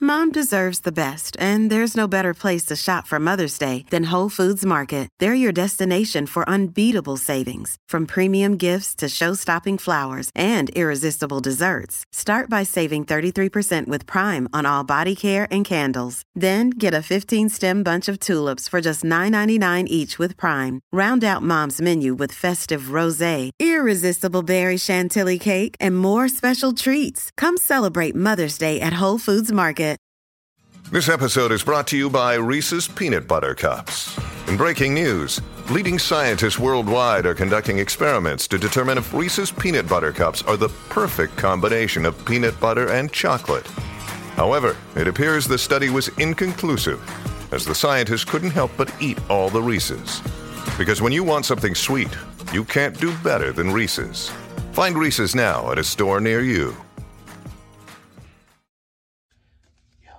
Mom deserves the best, and there's no better place to shop for Mother's Day than Whole Foods Market. They're your destination for unbeatable savings, from premium gifts to show-stopping flowers and irresistible desserts. Start by saving 33% with Prime on all body care and candles. Then get a 15-stem bunch of tulips for just $9.99 each with Prime. Round out Mom's menu with festive rosé, irresistible berry chantilly cake, and more special treats. Come celebrate Mother's Day at Whole Foods Market. This episode is brought to you by Reese's Peanut Butter Cups. In breaking news, leading scientists worldwide are conducting experiments to determine if Reese's Peanut Butter Cups are the perfect combination of peanut butter and chocolate. However, it appears the study was inconclusive, as the scientists couldn't help but eat all the Reese's. Because when you want something sweet, you can't do better than Reese's. Find Reese's now at a store near you. Yo,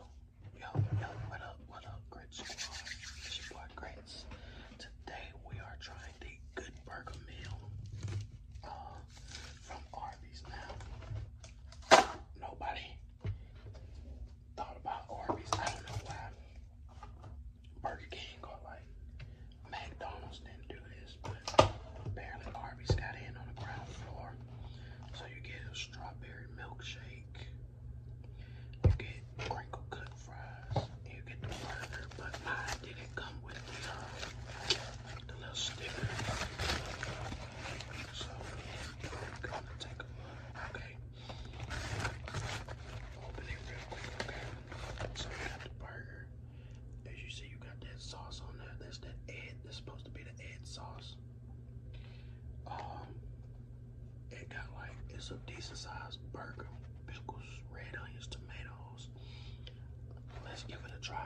yo, yo, what up, what up, Grits Squad? It's your Today we are trying the Good Burger meal uh, from Arby's now. Nobody thought about Arby's. I don't know why. Burger King or like McDonald's didn't do this, but apparently arby got in on the ground floor. So you get a strawberry milkshake, you get crinkle cut fries, you get the burger, but mine didn't come with the, uh, little sticker. So, I'm take a look, okay? As you see, you got that sauce on there. That's that egg. That's supposed to be the egg sauce. Um, it got like it's a decent sized burger, pickles, red onions, tomatoes. Let's give it a try.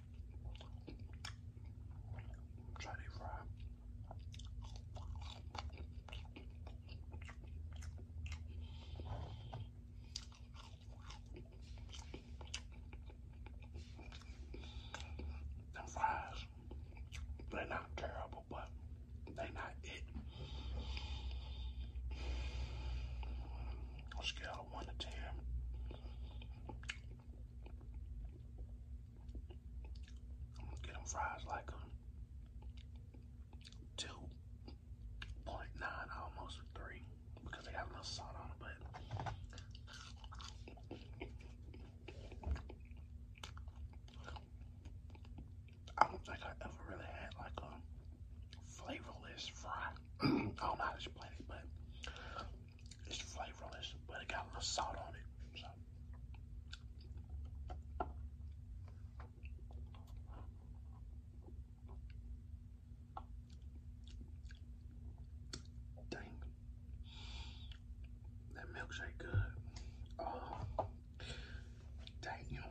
Try to fry. Them fries, they're not terrible, but they're not it. Let's go. 1 to 10. I'm going get them fries like a 2.9, almost 3, because they got enough salt on it, but I don't think I ever really had like a flavorless fry. I don't know how explain it, but it's flavorless, but it got a little salt on it. Dang, that milkshake good. Oh, dang, oh,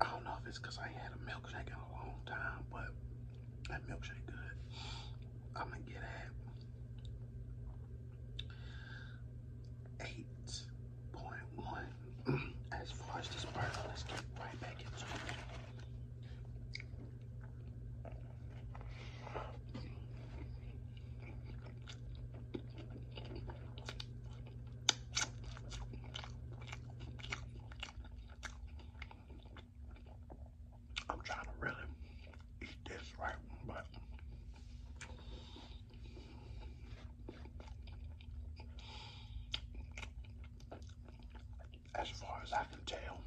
I don't know if it's I ain't had a milkshake in a long time, but that milkshake good. I'm gonna get at 8.1. As far as this burger, let's get right back into it. I'm trying to really eat this right, but as far as I can tell,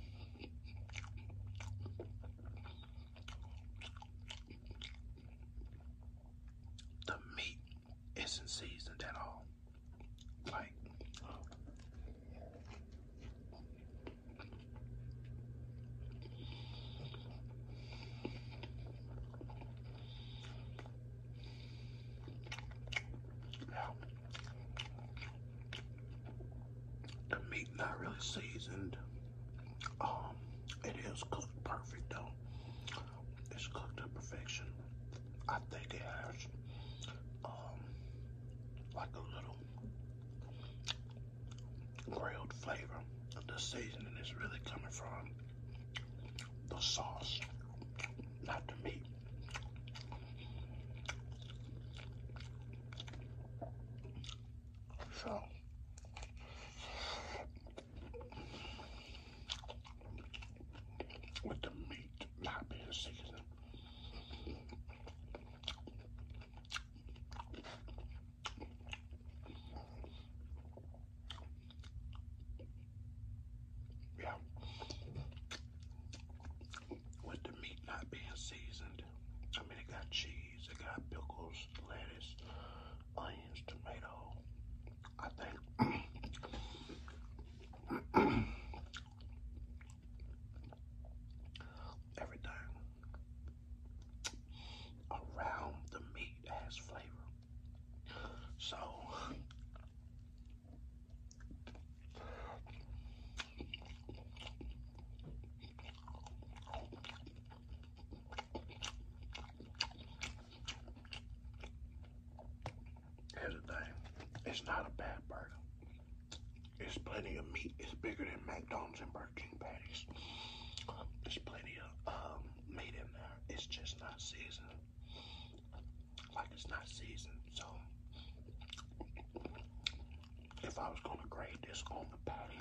the meat isn't seasoned at all. Like The meat not really seasoned. Um, it is cooked perfect though. It's cooked to perfection. I think it has um, like a little grilled flavor. The seasoning is really coming from the sauce, not the meat. So with the meat not being seasoned. Yeah. With the meat not being seasoned. I mean, it got cheese peas. got pickles, lettuce, onions, tomato. I think everything around the meat has flavor. So Here's It's not a bad burger. It's plenty of meat. It's bigger than McDonald's and Burger King patties. There's plenty of um, meat in there. It's just not seasoned. Like it's not seasoned. So if I was going to grade this on the patty,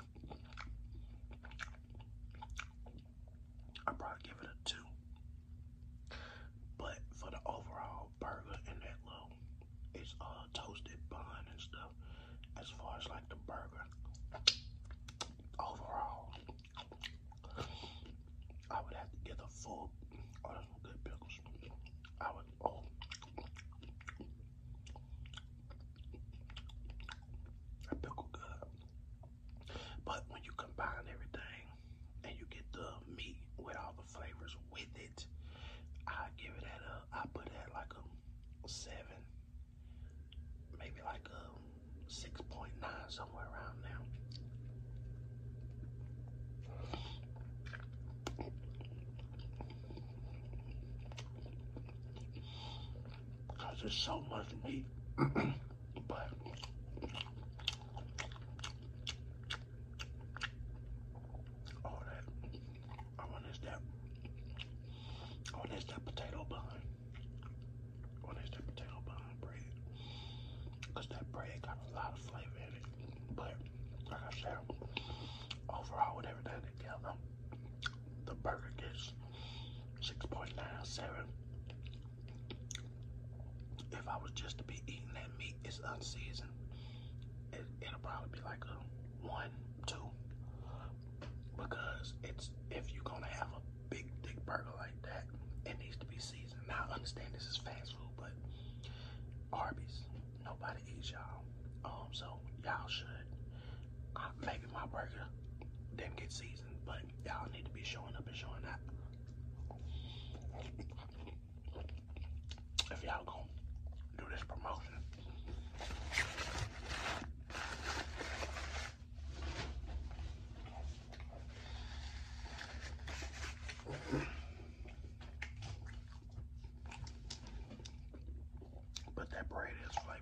i probably give it a two. But for the overall burger and that little, it's uh toasted bun and stuff. As far as like the burger, overall, I would have to get a full. good pickles. That pickle good. But when you combine everything and you get the meat with all the flavors with it, I give it at a, I put it at like a seven, maybe like a 6.9, somewhere around now because there's so much meat. but all that, I want is that, I want is that potato bun. I want is that potato bun bread. Because that bread got a lot of flavor in it. But like I said, overall with everything together, the burger gets 6.97. If I was just to be eating that meat, it's unseasoned. It, will probably be like a one, two. Because it's if you're gonna have a big thick burger like that, it needs to be seasoned. Now I understand this is fast food, but Arby's, nobody out y'all. Um, so y'all should. Uh, maybe my burger didn't get seasoned, but y'all need to be showing up and showing out. If y'all going do this promotion. But that bread is flaky.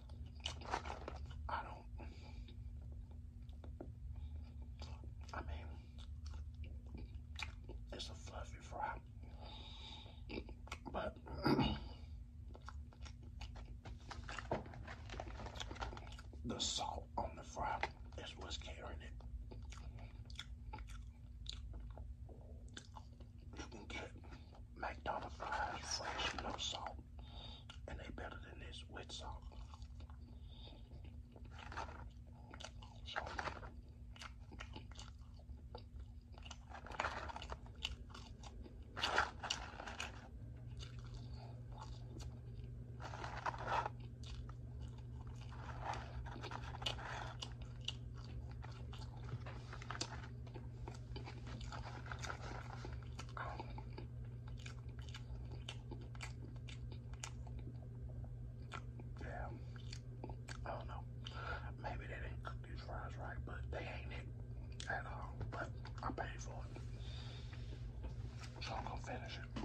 I don't. I mean, it's a fluffy fry, but the salt on the fry is what's carrying it. You can get McDonald's fries fresh, no salt and they better than this with salt. Um, yeah, I don't know. Maybe they didn't cook these fries right, but they ain't it at all. But I paid for it, so I'm gonna finish it.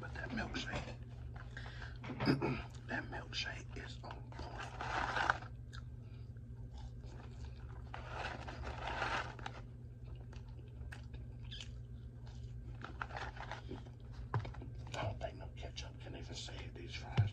But that milkshake, that milkshake is on point. I don't think no ketchup can even save these fries.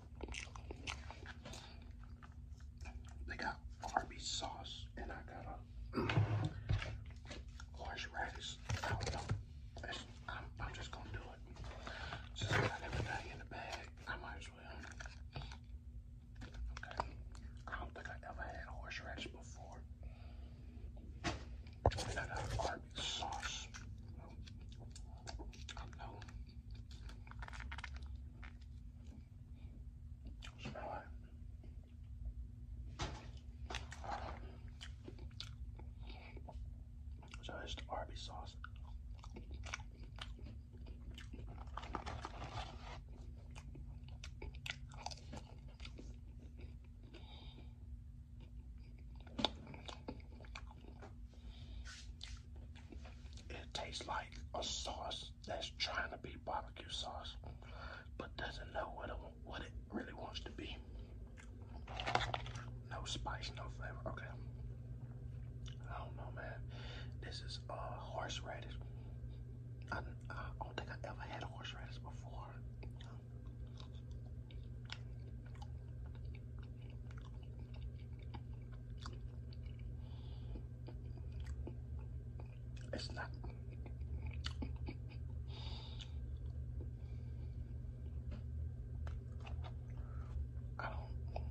They got Arby's sauce, and I got a horseradish. Mm, I don't know. I'm, I'm just gonna do it. Since got everything in the bag, I might as well. Okay. I don't think I ever had horseradish before. And I got Arby's sauce. I know. Smell it. So it's the Arby sauce. It tastes like a sauce that's trying to be barbecue sauce, but doesn't know what it, really wants to be. No spice, no flavor. Okay. I don't know, man. This is uh, horseradish. I, don't think I ever had horseradish before. It's not. I don't.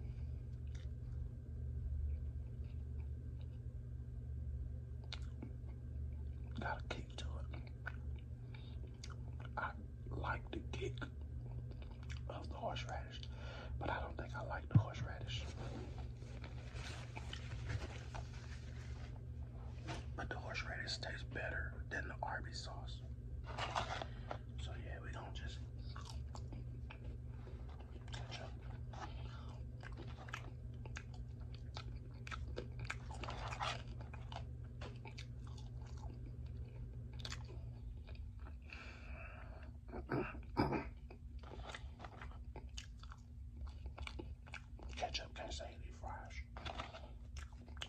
Got a kick to it. I like the kick of the horseradish but I don't think I like the horseradish. But the horseradish tastes better than the Arby's sauce. So yeah, we don't just ketchup can't say any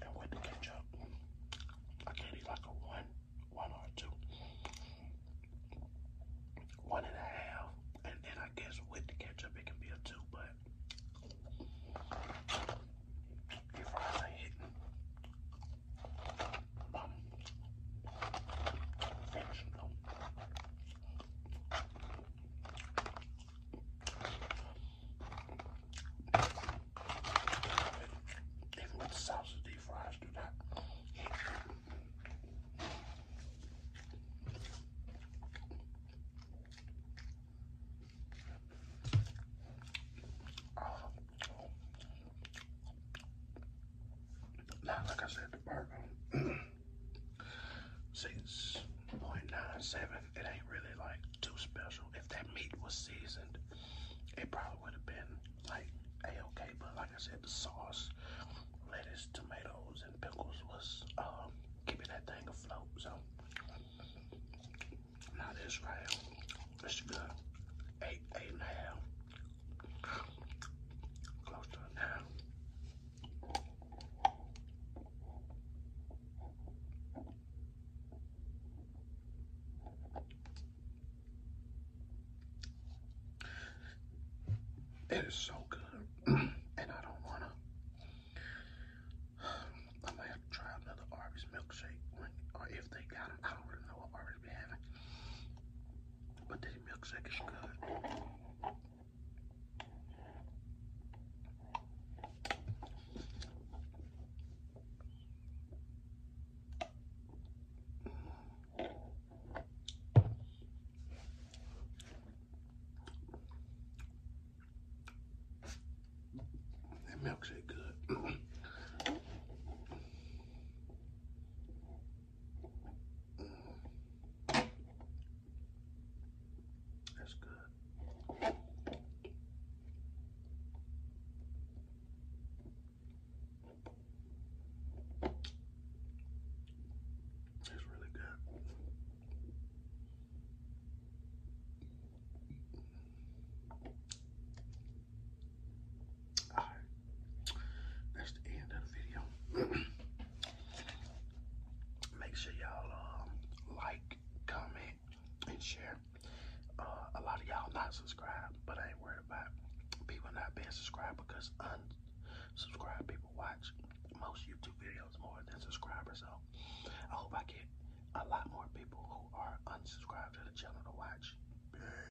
And with the ketchup, I can eat like a one, one or two. One and a half. And then I guess with the ketchup it can be a two, but even the sausage, these fries do not. Oh, now, like I said, the burger, 6.97, it ain't really like too special. If that meat was seasoned, it probably would have been like a-okay, but like I said, the sauce, lettuce, tomatoes, and pickles was keeping um, that thing afloat, so now this right here, it's eight, eight and a half. Close to a nine. It is so good, and I don't want to. I'm gonna have to try another Arby's milkshake, when, or if they got them. I don't really know what already But this milkshake is good. That milkshake good. That's good. It's really good. All right. That's the end of the video. Make sure y'all um, like, comment, and share. Uh, a lot of y'all not subscribed, but I ain't worried about people not being subscribed because unsubscribed people watch most YouTube videos more than subscribers. So I hope I get a lot more people who are unsubscribed to the channel to watch.